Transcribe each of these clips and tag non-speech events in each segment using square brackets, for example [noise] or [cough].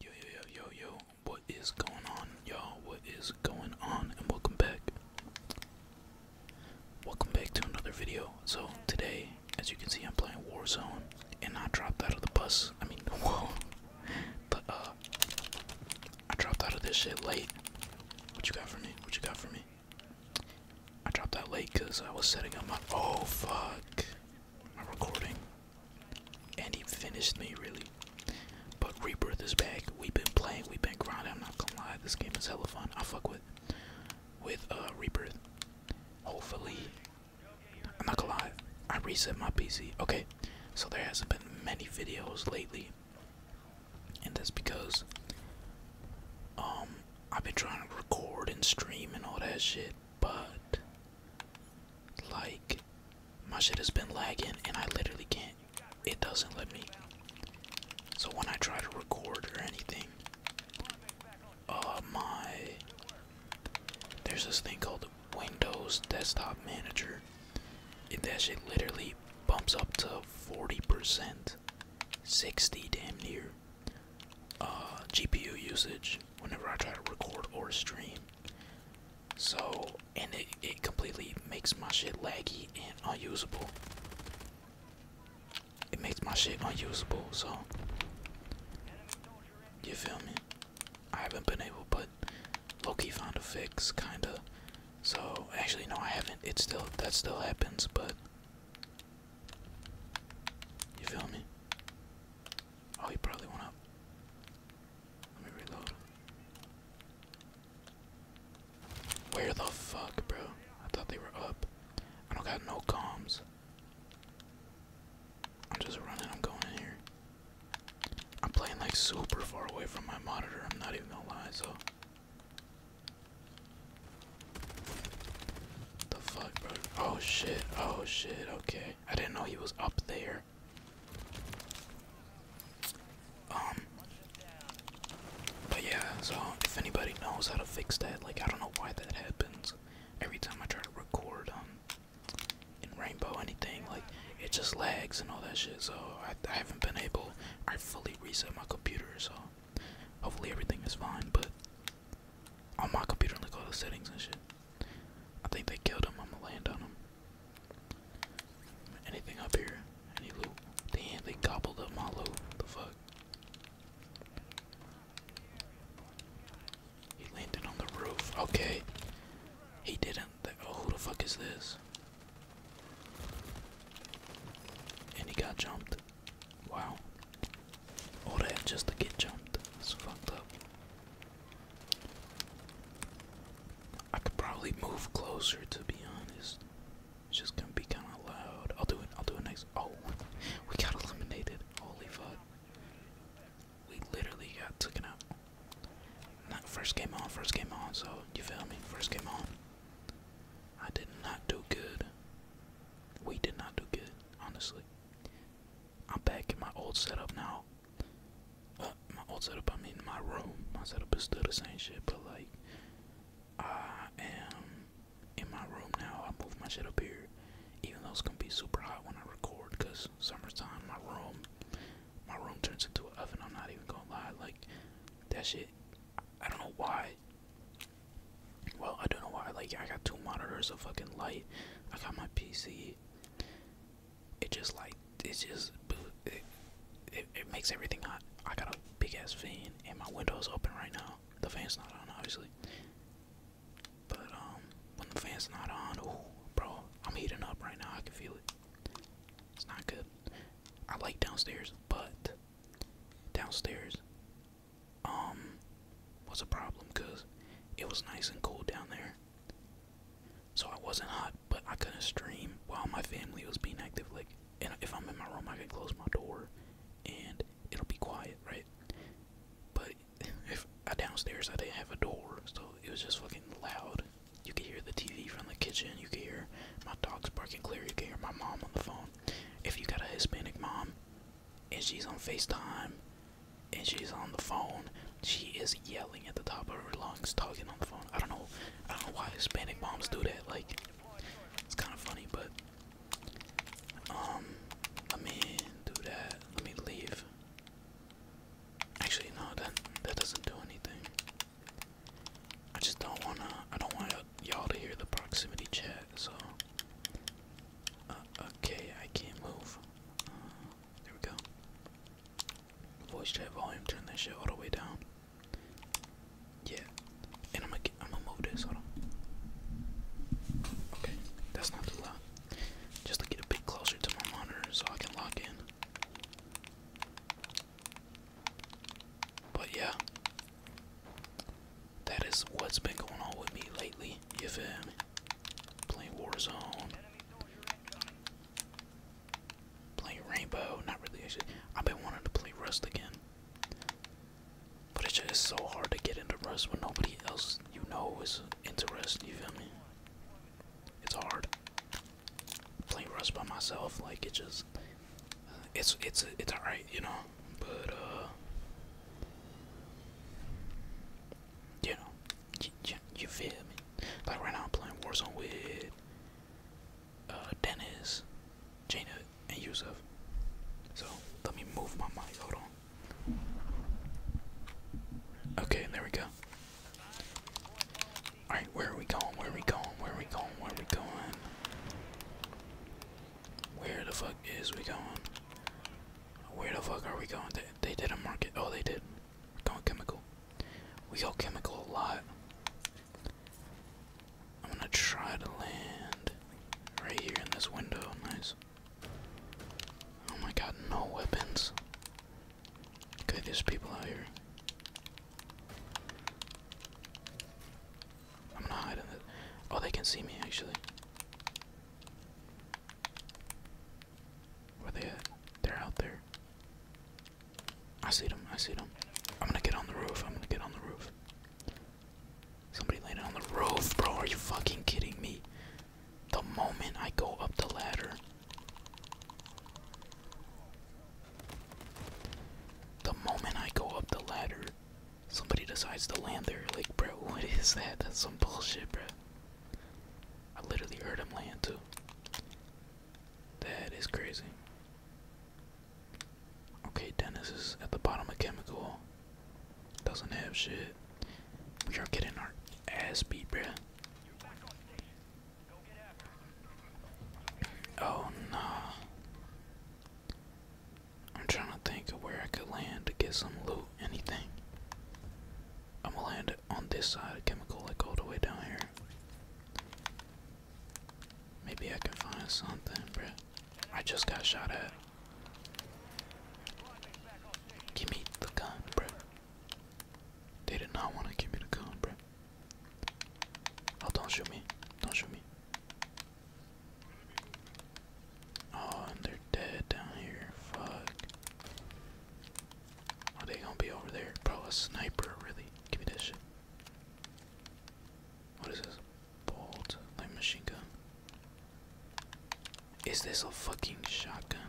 Yo yo yo yo yo, what is going on, y'all? What is going on? And welcome back. Welcome back to another video. So today, as you can see, I'm playing Warzone, and I dropped out of the bus. I mean, [laughs] whoa, but uh, I dropped out of this shit late. What you got for me? What you got for me? I dropped out late because I was setting up my. Oh fuck, my recording. And he finished me, really. But Rebirth is back. We've been playing, we've been grinding. I'm not gonna lie, this game is hella fun. I fuck with with uh Rebirth. Hopefully, I'm not gonna lie. I reset my PC. Okay, so there hasn't been many videos lately, and that's because um I've been trying to record and stream and all that shit, but like, my shit has been lagging and I literally can't. It doesn't let me. So when I try to record or anything, uh, my. There's this thing called Windows Desktop Manager. and that shit literally bumps up to 40%, 60 damn near, uh, GPU usage whenever I try to record or stream. So, and it, it completely makes my shit laggy and unusable. It makes my shit unusable, so. You feel me? I haven't been able, but Loki found a fix, kinda. So, actually, no, I haven't. It still, that still happens, but. You feel me? Oh, he probably went up. Let me reload. Where the fuck, bro? I thought they were up. I don't got no comms. I'm just running. I'm going in here. I'm playing like super far away from my monitor. I'm not even gonna lie, so. The fuck, bro? Oh shit. Oh shit. Okay. I didn't know he was up there. Um, but yeah, so if anybody knows how to fix that, like I don't know why that happens. Every time I try to record um in Rainbow anything, like it just lags and all that shit. So I, I haven't been able. I fully reset my computer, so hopefully everything is fine. But on my computer, like all the settings and shit. I think they killed him. I'm gonna land on him. Anything up here? Any loot? Damn, they gobbled up my loot. The fuck? He landed on the roof. Okay. He didn't. Oh, who the fuck is this? And he got jumped. Wow. All oh, that just to get jumped. It's fucked up. I could probably move closer to be honest. It's just gonna be kinda loud. I'll do it, I'll do it next oh [laughs] we got eliminated. Holy fuck. We literally got taken out. Not first game on, first game on, so you feel me? First game on. I did not do good. We did not do good, honestly. I'm back in my old setup now. Uh, my old setup, I mean my room. My setup is still the same shit, but like I am in my room now. I move my shit up here, even though it's gonna be super hot when I record, cause summertime. My room, my room turns into an oven. I'm not even gonna lie. Like that shit. I don't know why. Well, I don't know why. Like I got two monitors, a fucking light. I got my PC it just like it's just it, it, makes everything hot. I got a big ass fan and my window's open right now. The fan's not on obviously. But um when the fan's not on, oh bro, I'm heating up right now, I can feel it. It's not good. I like downstairs, but downstairs um was a problem because it was nice and cool down there so I wasn't hot, but I couldn't stream while my family was being active. Like, and if I'm in my room, I can close my door, and it'll be quiet, right? But [laughs] if I uh, downstairs, I didn't have a door, so it was just fucking loud. You could hear the TV from the kitchen. You could hear my dogs barking clear. You can hear my mom on the phone. If you got a Hispanic mom, and she's on FaceTime and she's on the phone. She is yelling at the top of her lungs, talking on the phone. I don't know, I don't know why Hispanic moms do that. Like, it's kind of funny, but um, let me do that. Let me leave. Actually, no, that that doesn't do anything. I just don't wanna. I don't want y'all to hear the proximity chat. So, uh, okay, I can't move. Uh, there we go. Voice chat volume, turn that shit all the way down. Yeah, and I'm gonna I'm gonna move this. Hold on. Okay, that's not too loud. Just to get a bit closer to my monitor so I can lock in. But yeah, that is what's been going on with me lately. You Playing Warzone. Play Rainbow, not really I've been wanting to play Rust again. But it's just so hard to get into Rust when nobody else you know is into Rust, you feel me? It's hard. Playing Rust by myself, like it just it's it's it's alright, you know. But uh you know, you, feel me? Like right now I'm playing Warzone with uh, Dennis, Jaina, and Yusuf. So let me move my mic, hold on. Okay, there we go. Alright, where are we going? Where are we going? Where are we going? Where are we going? Where the fuck is we going? Where the fuck are we going? They, they didn't mark it. Oh, they did. Don't chemical. We go chemical a lot. I'm gonna try to land right here in this window. Nice. Oh my god, no weapons. Okay, there's people out here. I'm not hiding it. Oh, they can see me actually. Where they They're out there. I see them, I see them. I'm gonna get on the roof, I'm gonna get on the roof. Somebody landed on the roof, bro. Are you fucking kidding me? The moment I go up the ladder, the moment I go up the ladder, somebody decides to land there. Like, bro, [laughs] what is that? That's some bullshit, bro. I literally heard him land too. That is crazy. Okay, Dennis is at the bottom of chemical. Doesn't have shit. We are getting our ass beat, bro. Oh no. I'm trying to think of where I could land to get some loot, anything. I'm gonna land it on this side of chemical, like all the way down here. Maybe I can find something, bruh. I just got shot at. Give me the gun, bruh. They did not want to give me the gun, bruh. Oh, don't shoot me. Don't shoot me. Oh, and they're dead down here. Fuck. Are they gonna be over there? Bro, a sniper, really? Give me this shit. What is this? Bolt, like machine gun. Is this a fucking shotgun?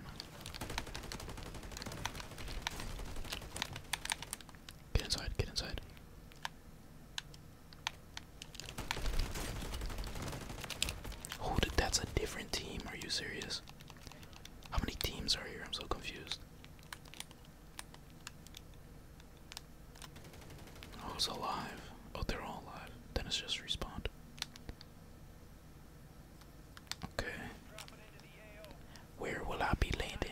Get inside, get inside. Oh, that's a different team. Are you serious? How many teams are here? I'm so confused. Oh, it's alive. Oh, they're all alive. Then just respawned. Okay. Where will I be landing?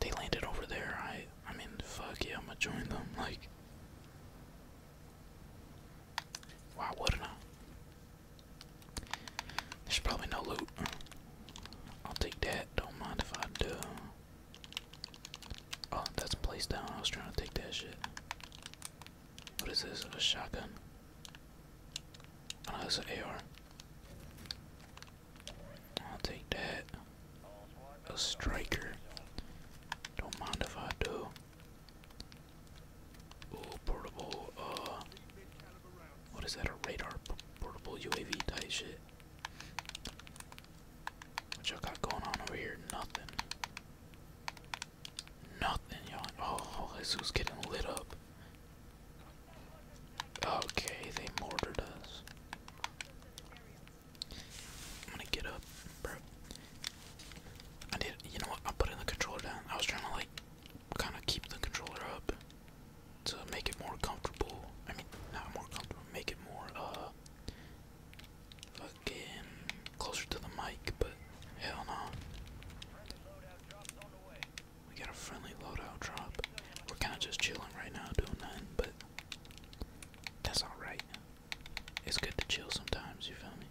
They landed over there. I I mean fuck yeah, I'm gonna join them. [laughs] Like Why wouldn't I? There's probably no loot. I'll take that. Don't mind if I do. Oh, that's placed down. I was trying to take that shit. What is this? A shotgun? Oh, no, that's an AR. I'll take that. A striker. Don't mind if I do. Oh, portable, uh, what is that, a radar portable UAV type shit? What y'all got going on over here? Nothing. Nothing, y'all. Oh, Jesus getting lit up. Okay, they mortared us. I'm gonna get up, bro. I did, you know what, I put in the controller down. I was trying to, like, kind of keep the controller up to make it more comfortable. I mean, not more comfortable, make it more, uh, fucking closer to the mic, but hell no. We got a friendly loadout drop. We're kind of just chilling right now, doing nothing, but that's alright. It's good to chill sometimes, you feel me?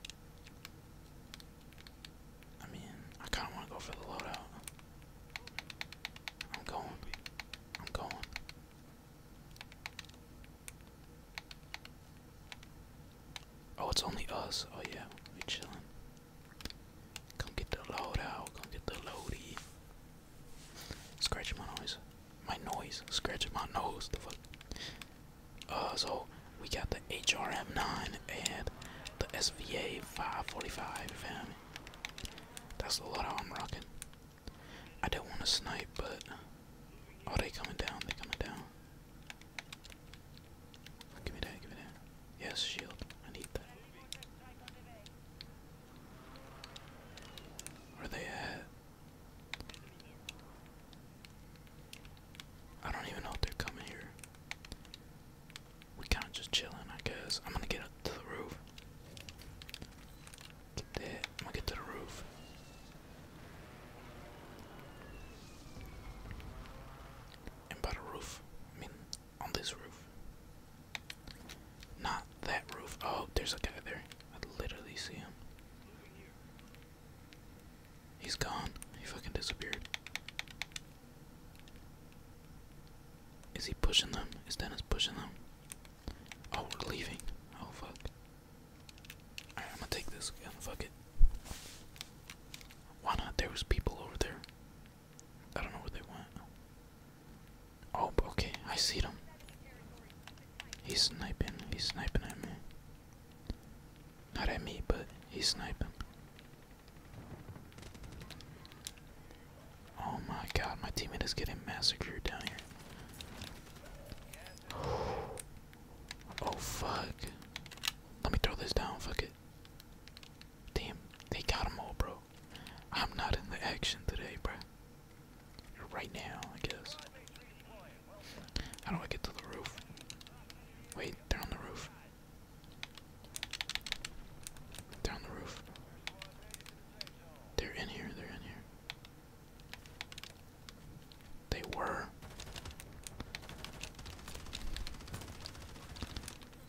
I mean, I kind of want to go for the loadout. I'm going, I'm going. Oh, it's only us. Oh yeah, we chilling. Come get the loadout. Come get the loady. Scratch my noise. My noise. Scratch my nose. The fuck. Uh, so we got the HRM9 and the SVA 545 fam. That's a lot of am rocking. I don't want to snipe, but oh, they coming down. They coming down. Give me that. Give me that. Yes, shield. I need that. Where are they at? I don't even know if they're coming here. We kind of just chilling, I guess. I'm gonna get up to the roof. Get that. I'm gonna get to the roof. And by the roof, I mean on this roof. Not that roof. Oh, there's a guy there. I literally see him. He's gone. He fucking disappeared. Is he pushing them? Is Dennis pushing them? Oh, we're leaving. Oh, fuck. I'm gonna take this gun. Fuck it. Why not? There was people over there. I don't know where they went. Oh, okay. I see them. He's sniping. He's sniping at me. Not at me, but he's sniping. Oh my god, my teammate is getting massacred down here. Oh fuck. Let me throw this down, fuck it. Damn, they got all, bro. I'm not in the action today, bro. Right now, I guess. How do I get to the roof? Wait, they're on the roof. Down the roof. They're in here, they're in here. They were.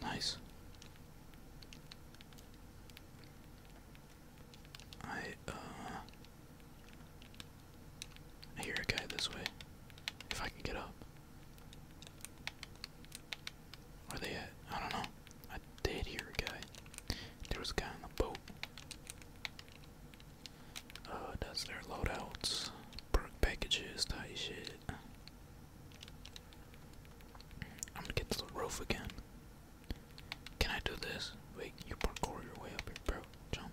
Nice. I, uh. hear a guy this way. If I can get up. Where they at? I don't know. I did hear a guy. There was a guy on the boat. Uh, that's their loadouts, perk packages, tight shit. I'm gonna get to the roof again. Can I do this? Wait, you parkour your way up here, bro. Jump.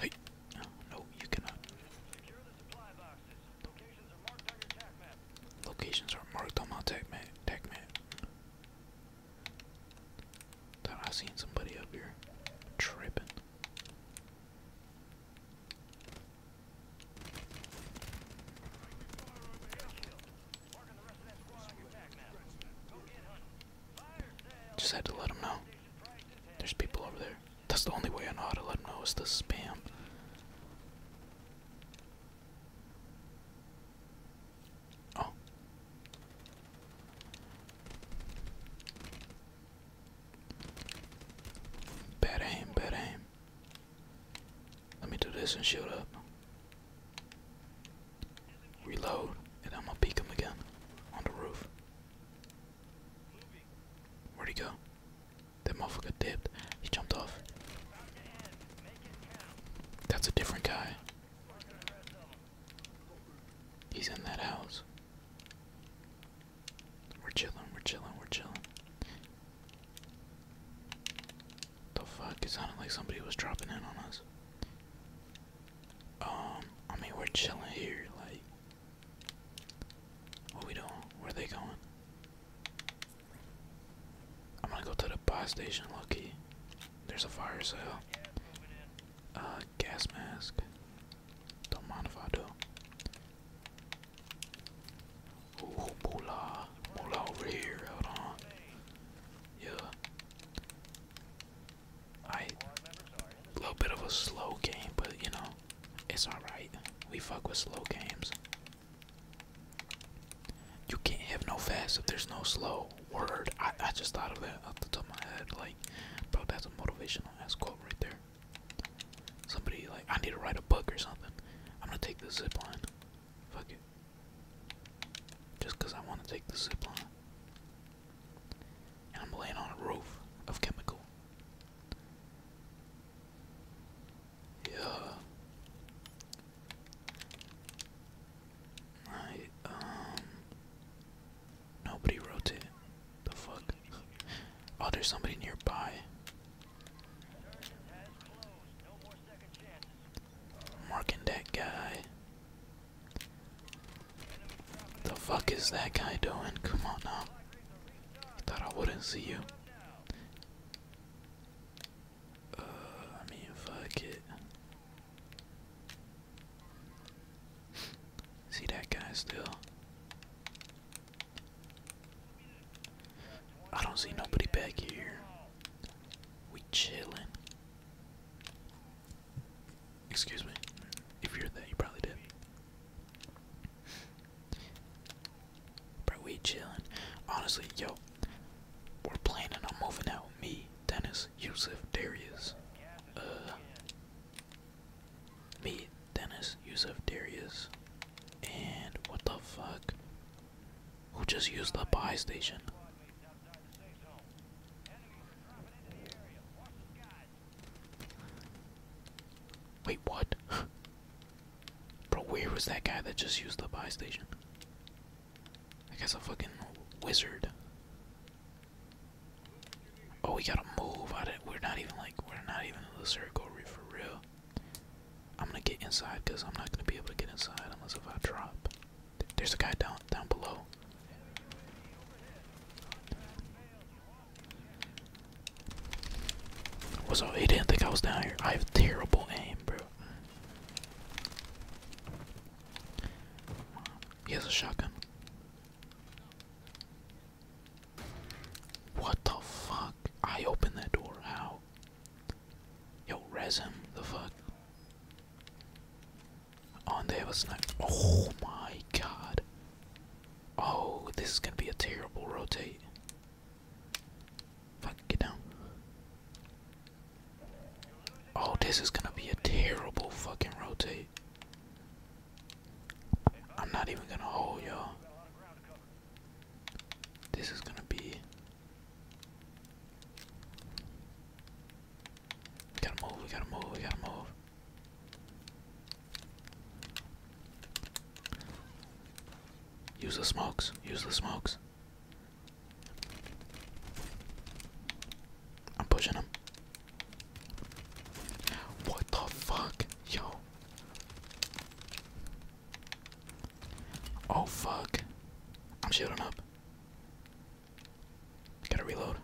Hey, oh, no, you cannot. Locations are marked on my tech map. Tech map. Thought I seen somebody up here tripping. Just had to let them know. There's people over there. That's the only way I know how to let him know is to spam. Oh. Bad aim, bad aim. Let me do this and shield up. Reload, and I'm gonna peek him again on the roof. Where'd he go? That motherfucker dipped. He jumped off. That's a different guy. He's in that house. We're chilling, we're chilling, we're chilling. The fuck? It sounded like somebody was dropping in on us. Um, I mean, we're chilling here, like, what we doing? Where they going? I'm gonna go to the bus station, Loki. There's a fire sale. Uh, gas mask. Don't mind if I do. Ooh, moolah. Moolah over here. Hold on. Yeah. I. A little bit of a slow game, but you know. It's alright. We fuck with slow games. You can't have no fast if there's no slow. Word. I, I just thought of that off the top of my head. Like, bro, that's a motivational ass quote right there. Somebody, like, I need to write a book or something. I'm gonna take the zip line. Fuck it. Just because I want to take the zip line. And I'm laying on a roof of chemical. Yeah. Right, um nobody rotate. The fuck? Oh, there's somebody nearby. Marking that guy. The fuck is that guy doing? Come on now. Thought I wouldn't see you. Uh, I mean, fuck it. See that guy still? I don't see nobody back here. We chilling. Excuse me. If you're there, you probably did. But we chilling. Honestly, yo, we're planning on moving out. Me, Dennis, Yusuf, Darius. Uh, me, Dennis, Yusuf, Darius. And what the fuck? Who just used the buy station? Wait, what? [laughs] Bro, where was that guy that just used the buy station? I guess a fucking wizard. Oh, we gotta move. I didn't, we're not even like we're not even in the circle for real. I'm gonna get inside because I'm not gonna be able to get inside unless if I drop. There's a guy down down below. What's up? He didn't think I was down here. I have terrible aim, bro. He has a shotgun. What the fuck? I opened that door. How? Yo, res him. The fuck? Oh, they have a sniper. Oh my god. Oh, this is gonna be a terrible rotate. Fuck, get down. Oh, this is gonna be a terrible fucking rotate. I'm not even gonna hold y'all. This is gonna be. gotta move, we gotta move, we gotta move. Use the smokes. Use the smokes. I'm pushing him. What the fuck? Yo. Oh fuck. I'm shooting up. Gotta reload.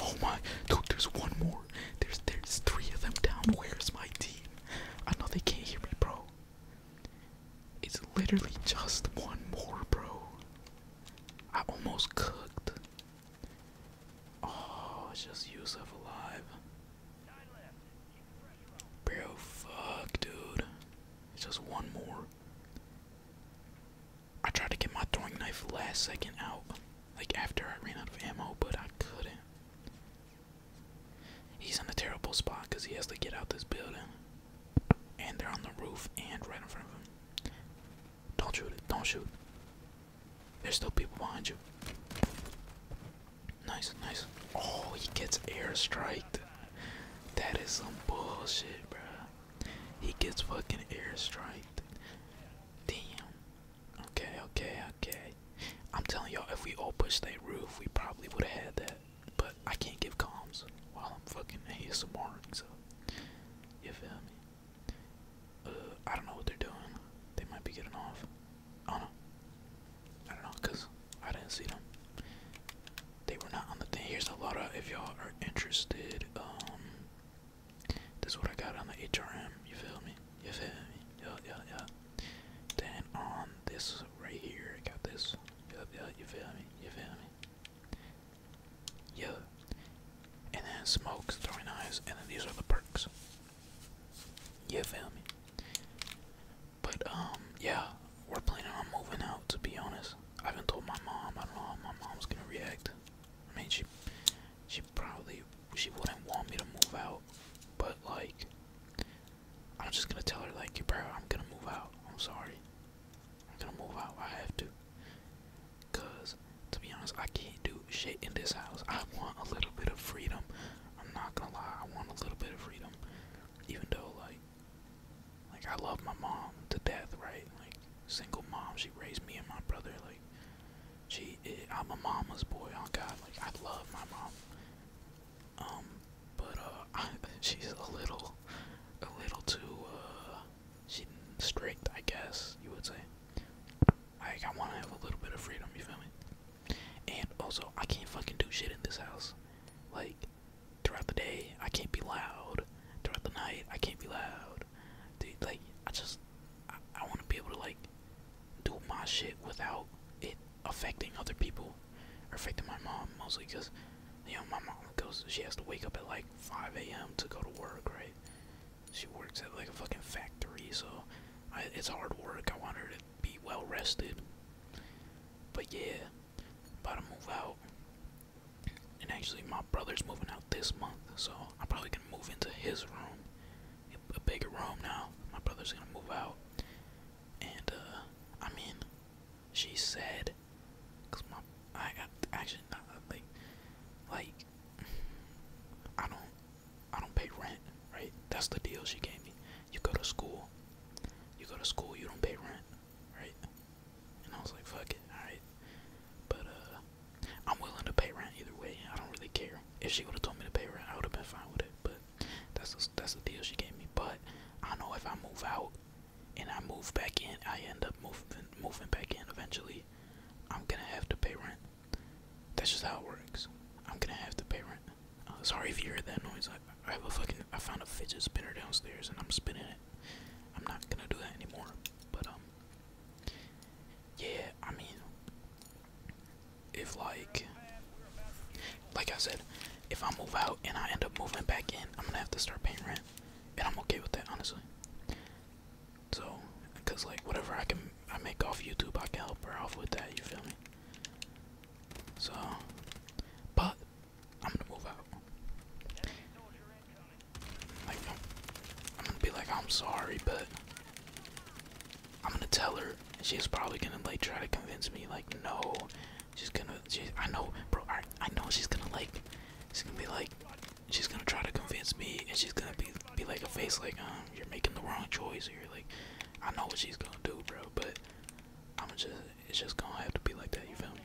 Oh my, dude, there's one more. There's there's three of them down. Where's my team? I know they can't hear me, bro. It's literally just one more, bro. I almost cooked. Oh, it's just Yusuf alive. Bro, fuck, dude. It's just one more. I tried to get my throwing knife last second out, like after I ran out of ammo, but I couldn't. He's in a terrible spot because he has to get out this building. And they're on the roof and right in front of him. Don't shoot it, don't shoot. There's still people behind you. Nice, nice. Oh, he gets airstrike. That is some bullshit, bro. He gets fucking airstriked. Damn. Okay, okay, okay. I'm telling y'all, if we all pushed that roof, we probably would have had that. But I can't give comms while I'm fucking Some so. You feel me? Uh, I don't know what they're doing. They might be getting off. I don't know. I don't know, I didn't see them they were not on the thing. Here's a lot of if y'all are interested. Um, this is what I got on the HRM. You feel me? You feel me? Yeah, yeah, yeah. Then on this right here, I got this. Yup, yeah, you feel me? You feel me? Yeah. And then smokes, throwing knives, and then these are the perks. You feel me? But um, yeah, we're planning on moving out. To be honest, I haven't told my mom. I don't know how my mom's gonna react. I mean, she she probably she wouldn't want me to move out, but like I'm just gonna tell her like, bro, I'm gonna move out. I'm sorry. I'm gonna move out. I have to. Cause to be honest, I can't do shit in this house. I want a little bit of freedom. I'm not gonna lie. I want a little bit of freedom, even though like like I love my mom to death, right? Like single mom, she raised me and my brother. Like she, I'm a mama's boy. Oh God, like I love my mom. Um, but uh, [laughs] she's a little, a little too uh, she strict, I guess you would say. Like I want to have a little bit of freedom. You feel me? And also, I can't fucking do shit in this house. Like throughout the day I can't be loud. Throughout the night I can't be loud. Dude, like I just I, want to be able to like do my shit without it affecting other people or affecting my mom mostly because you know my mom goes she has to wake up at like 5 a.m. to go to work right. She works at like a fucking factory so it's hard work. I want her to be well rested. But yeah, about to move out. And actually, my brother's moving out this month, so I'm probably gonna move into his room, a bigger room now. My brother's gonna move out, and uh, I mean, she said, my I, actually like, like, I don't, I don't pay rent, right? That's the deal she gave me. You go to school, you go to school, you don't pay rent right? And I was like, fuck it, alright. But uh, I'm willing to pay rent either way. I don't really care. If she would have told me to pay rent, I would have been fine with it. But that's that's the deal she gave me. But I know if I move out and I move back in, I end up moving moving back in eventually. I'm gonna have to pay rent. That's just how it works. I'm gonna have to pay rent. Uh, sorry if you heard that noise. I have a fucking I found a fidget spinner downstairs and I'm spinning it. I'm not gonna do that anymore. But um yeah, I mean if like like I said, if I move out and I end up moving back in, I'm gonna have to start paying rent. And I'm okay with that honestly. So, cause like whatever I can I make off YouTube, I can help her off with that. You feel me? So, but I'm gonna move out. I'm gonna be like, I'm sorry, but I'm gonna tell her. She's probably gonna like try to convince me, like, no. She's gonna, she, I know, bro, I, know she's gonna like, she's gonna be like, she's gonna try to convince me, and she's gonna be, be like a face, like, um, you're making the wrong choice, you're like, I know what she's gonna do, bro, but I'm gonna just, it's just gonna have to be like that, you feel me?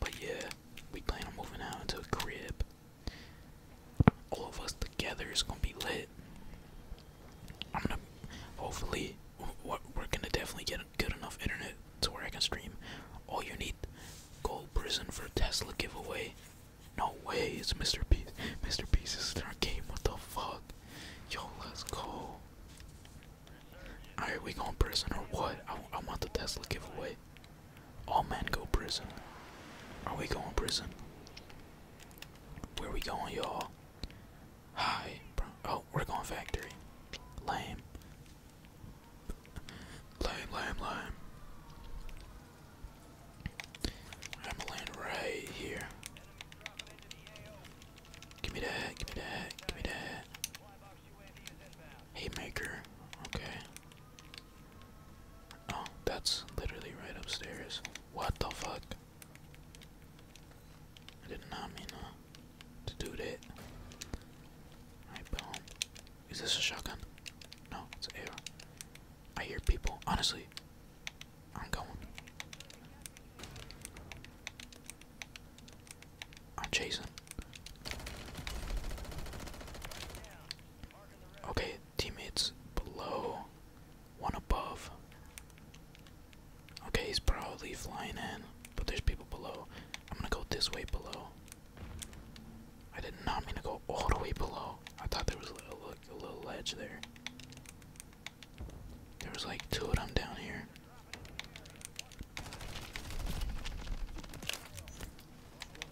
But yeah, we plan on moving out into a crib. All of us together is gonna be lit. I'm gonna hopefully we're gonna definitely get good enough internet to where I can stream. All you need gold prison for Tesla giveaway. No way, it's Mr. Beast. Mr. Beast is in our game. What the fuck? Yo, let's go. Alright, we going prison or what? I, I want the Tesla giveaway. All men go prison. Are we going prison? Where we going, y'all? Hi, Oh, we're going factory. Lame. Lame, lame, lame. I'm gonna right here. Give me that, give me that, give me that. Haymaker. Okay. Oh, that's literally right upstairs. What the fuck? I did not mean to do that. Is this a shotgun? No, it's an AR. I hear people. Honestly, I'm going. I'm chasing. Okay, teammates below, one above. Okay, he's probably flying in, but there's people below. I'm gonna go this way below. I did not mean to go all the way below. I thought there was a little, ledge there. There was like two of them down here.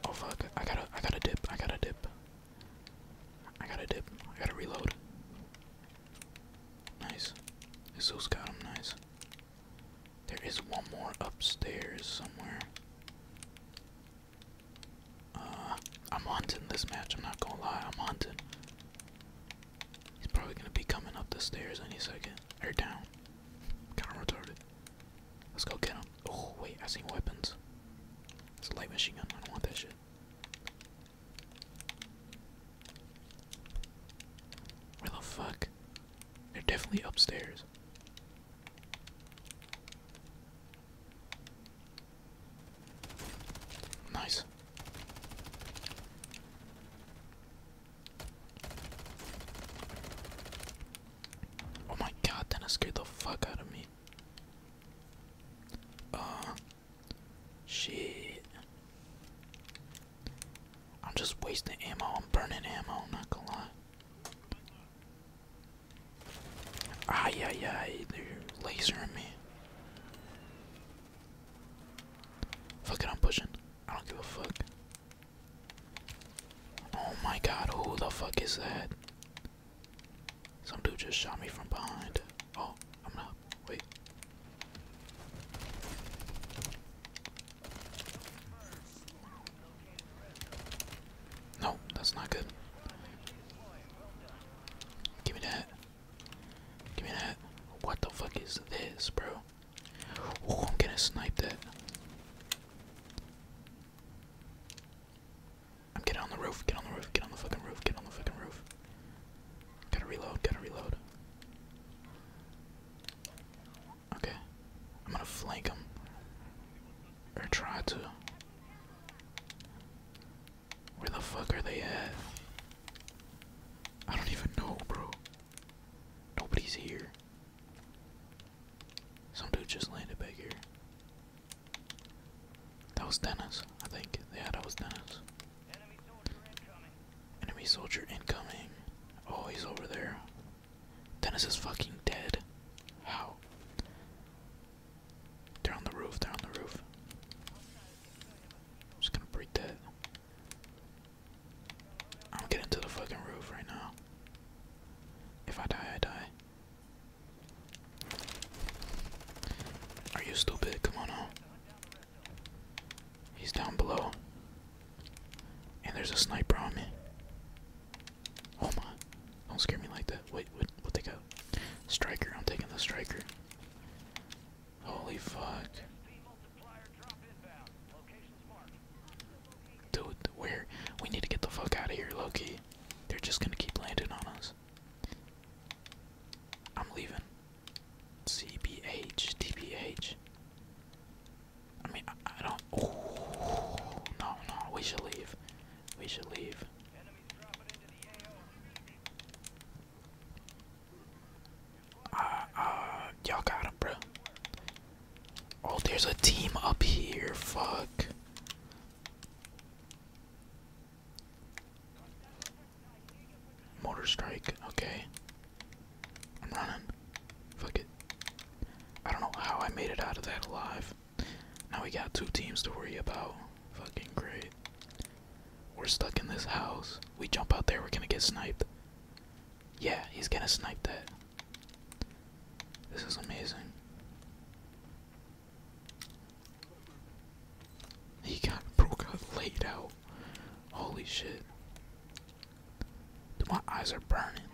Oh fuck, I gotta I gotta dip, I gotta dip. I gotta dip, I gotta reload. Nice. Jesus got him nice. There is one more upstairs somewhere. Uh I'm hunting this match, I'm not gonna lie, I'm hunting. He's probably gonna be coming up the stairs any second. Or down. Kind of retarded. Let's go get him. Oh, wait, I see weapons. It's a light machine gun. I don't want that shit. Where the fuck? They're definitely upstairs. Nice. Oh my god, that scared the fuck out of me. Uh, shit. I'm just wasting ammo. I'm burning ammo. I'm not gonna lie. Ay, ay, ay. They're lasering me. Fuck it, I'm pushing. I don't give a fuck. Oh my god, who the fuck is that? Some dude just shot me from behind. Oh, Wait. No, that's not good. Give me that. Give me that. What the fuck is this, bro? I'm gonna snipe that. I'm getting on the roof, get on the roof, get on the fucking roof, get on the fucking roof. Gotta reload, gotta reload. Okay. I'm gonna flank him. Or try to. Where the fuck are they at? I don't even know, bro. Nobody's here. Some dude just landed back here. That was Dennis, I think. Yeah, that was Dennis. Enemy soldier incoming. Oh, he's over there. Dennis is fucking dead. How? They're on the roof, they're on the roof. just gonna break that. I'm getting to the fucking roof right now. If I die, I die. Are you stupid? Come on now. He's down below. And there's a sniper on me. Oh my. Don't scare me like that. Wait, what, what they got? Striker. I'm taking the striker. Holy fuck. Dude, where? We need to get the fuck out of here, Loki. They're just gonna keep landing on us. I'm leaving. CBH, mean, I, don't. no, no, we should leave. We should leave. Uh, uh, y'all got him, bro. Oh, there's a team up here. Fuck. Motor strike. Okay. I'm running. Fuck it. I don't know how I made it out of that alive. Now we got two teams to worry about. Fucking great. We're stuck in this house. We jump out there, we're gonna get sniped. Yeah, he's gonna snipe that. This is amazing. He got broke out laid out. Holy shit. my eyes are burning.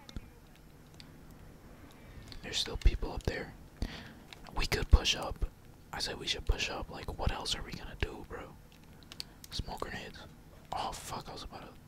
There's still people up there. We could push up. I said we should push up. Like, what else are we gonna do, bro? Smoke grenades. Oh, fuck, I was about to.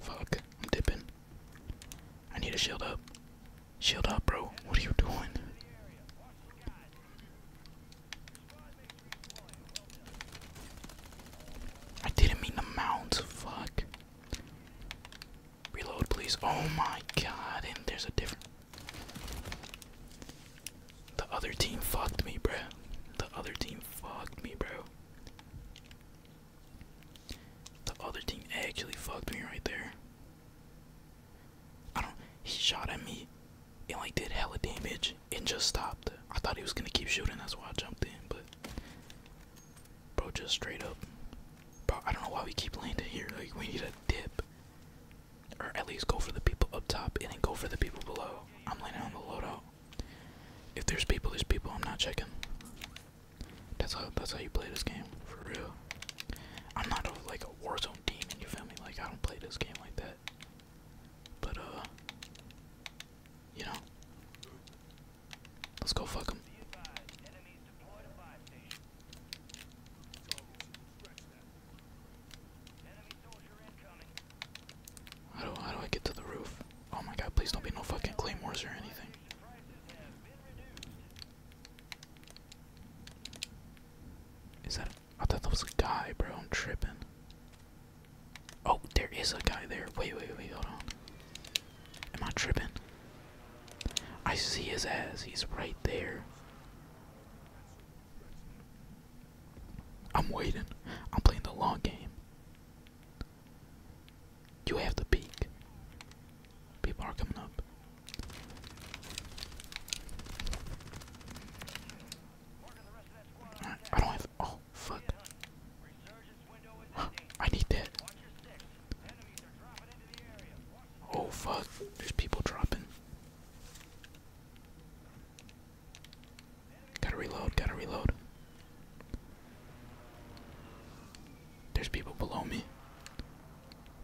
Fuck, I'm dipping. I need a shield up. Shield up, bro. What are you doing? I didn't mean the mounds. Fuck. Reload, please. Oh my god, and there's a different. The other team fucked me, bro. The other team fucked me, bro. The other team actually fucked me right there. I don't. He shot at me and like did hella damage and just stopped. I thought he was gonna keep shooting, that's why I jumped in, but. Bro, just straight up. Bro, I don't know why we keep landing here. Like, we need a dip. Or at least go for the people up top and go for the people below. I'm laying on the loadout. If there's people, there's people. I'm not checking. That's how that's how you play this game, for real. I'm not like a Warzone demon, you feel me? Like I don't play this game like that. But uh, you know, let's go fuck them. How do, I get to the roof? Oh my god, please don't be no fucking claymores or anything. Is that. I thought that was a guy, bro. I'm tripping. Oh, there is a guy there. Wait, wait, wait, hold on. Am I tripping? I see his ass. He's right there. I'm waiting. I'm playing the long game. You have to peek. People are coming up. I don't have. Oh, fuck. I need that. Oh, fuck. There's people dropping. Gotta reload, gotta reload. There's people below me.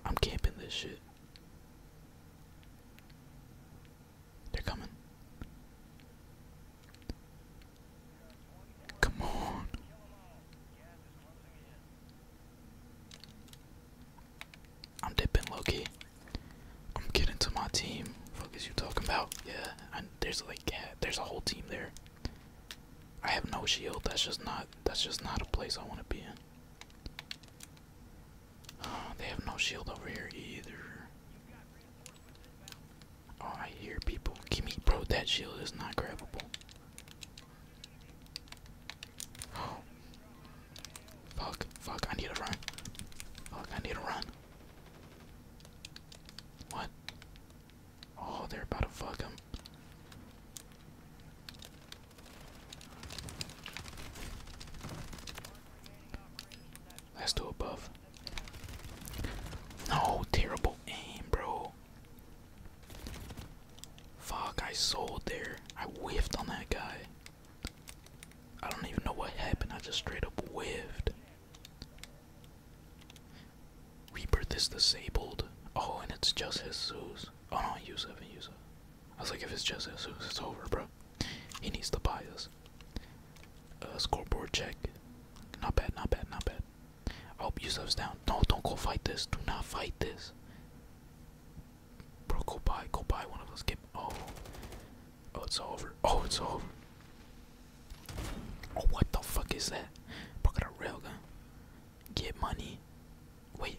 I'm camping this shit. They're coming. Come on. I'm dipping low-key. I'm getting to my team. Fuck is you talking about? Yeah, there's like yeah, there's a whole team there. I have no shield. That's just not that's just not a place I want to be in. Uh, they have no shield over here either. Oh, I hear people. Give me, bro. That shield is not grabbable fuck, fuck, I need to run. Fuck, I need to run. What? Oh, they're about to fuck him. Let's do a buff. Oh, terrible aim, bro. Fuck, I sold there. I whiffed on that guy. I don't even know what happened. I just straight up whiffed. Rebirth is disabled. Oh, and it's just his Jesus. Oh no, Yusuf and Yusuf. I was like, if it's just Jesus, it's over, bro. He needs to buy us. Uh, scoreboard check. Not bad, not bad, not bad. I'll Oh, Yusuf's down. No, don't go fight this. Do not fight this. Bro, go buy, go buy one of those. Get oh, oh, it's over. Oh, it's over. Oh, what the fuck is that? Bro, got a railgun. Get money. Wait,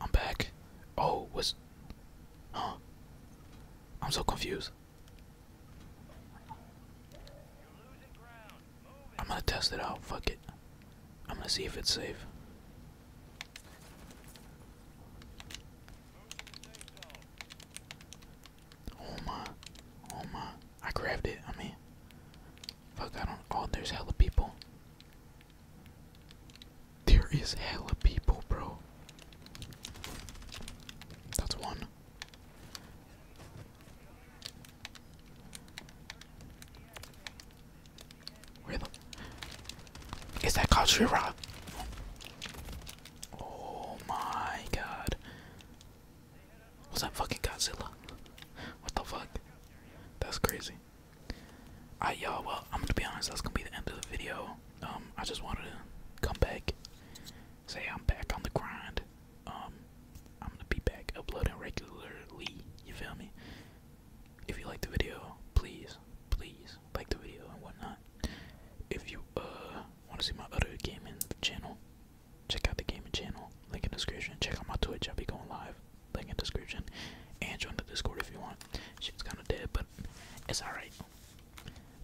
I'm back. Oh, what's? huh? I'm so confused. I'm gonna test it out. Fuck it. I'm gonna see if it's safe. Oh my, oh my. I grabbed it, I mean. Fuck, I don't, oh, there's hella people. There is hella people, bro. That's one. Where the is that called tree Oh my god. Was that fucking Godzilla? What the fuck? That's crazy. Alright y'all, well I'm gonna be honest, that's gonna be the end of the video. Um, I just wanted to come back. Say I'm back on the grind. Um, I'm gonna be back uploading regularly, you feel me? if you like the video, please, please like the video and whatnot. If you uh want to see my other gaming channel, check out the gaming channel. Link in the description. Check out my Twitch. I'll be going live. Link in the description. And join the Discord if you want. Shit's kind of dead, but it's alright.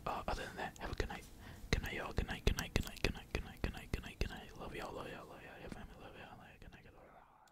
Uh, other than that, have a good night. Good night, y'all. Good night. Good night. Good night. Good night. Good night. Good night. Good night. Good night. Love y'all. Love y'all. Love y'all. Your family. Love y'all. Love y'all. Good night. Good night.